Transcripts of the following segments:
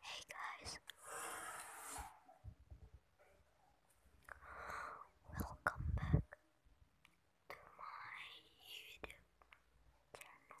Hey guys, welcome back to my YouTube channel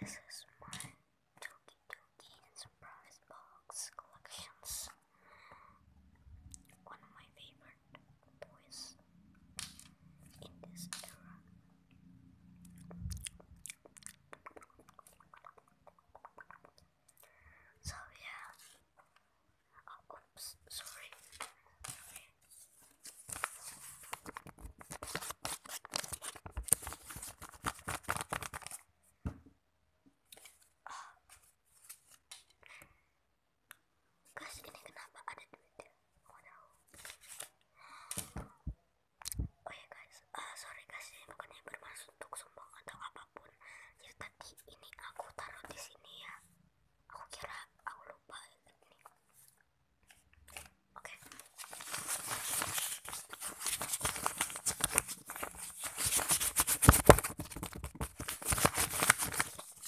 This is my Toki Surprise Box collections. One of my favorite boys in this era. So yeah. Oh, oops, sorry. Gas ini kenapa ada duitnya? Oh, oh ya guys, eh, sorry guys ini bukannya bermaksud untuk sombong atau apapun. Ya tadi ini aku taruh di sini ya. Aku kira aku lupa ini. Oke.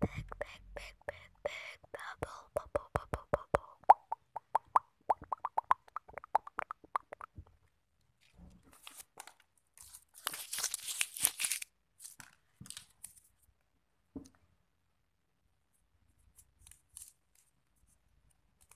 Big, big, big, big, big bubble, bubble, bubble, bubble.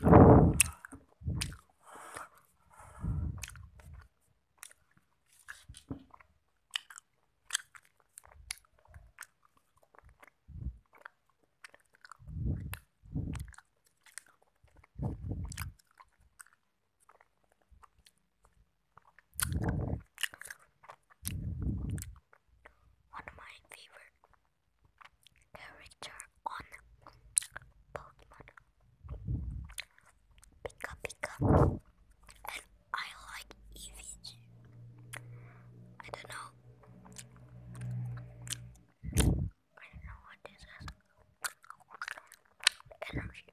One of my favorite character on Pokemon Pika Pika I like EVG. I don't know. I don't know what this is. Energy.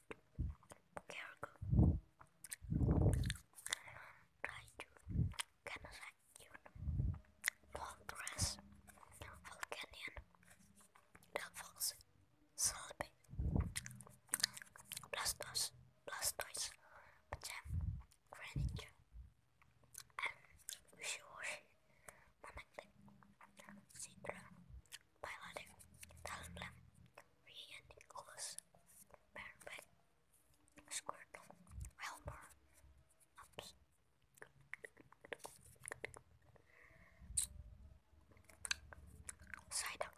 Cargo. Try to Canadian. Walrus. Volcanian. Devils. Slipy. Blastoise. Blastoise. Pajam. Greninja. And Wishy Washy. Manectric. Citra. Piloting, Talonblade, Rhiannicolus, Baronbeck, Squirtle, Helper, Ups. Psyduck,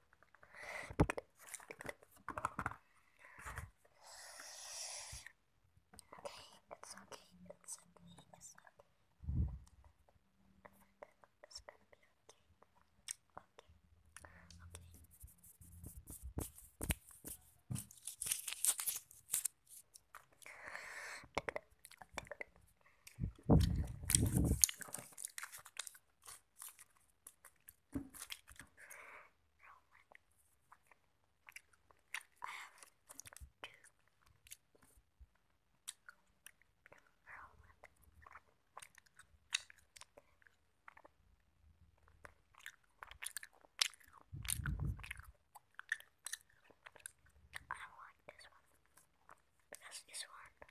Okay, it's okay, it's okay, it's okay. It's gonna be okay. Okay, okay. Okay, um, two. I do this one because this one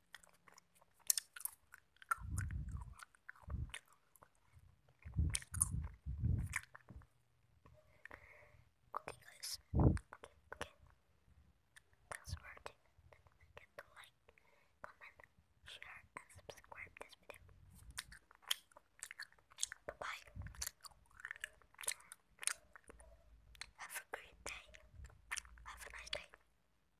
Okay, guys. Okay, okay. Don't forget to like, comment, share, and subscribe this video. Bye bye. Have a great day. Have a nice day.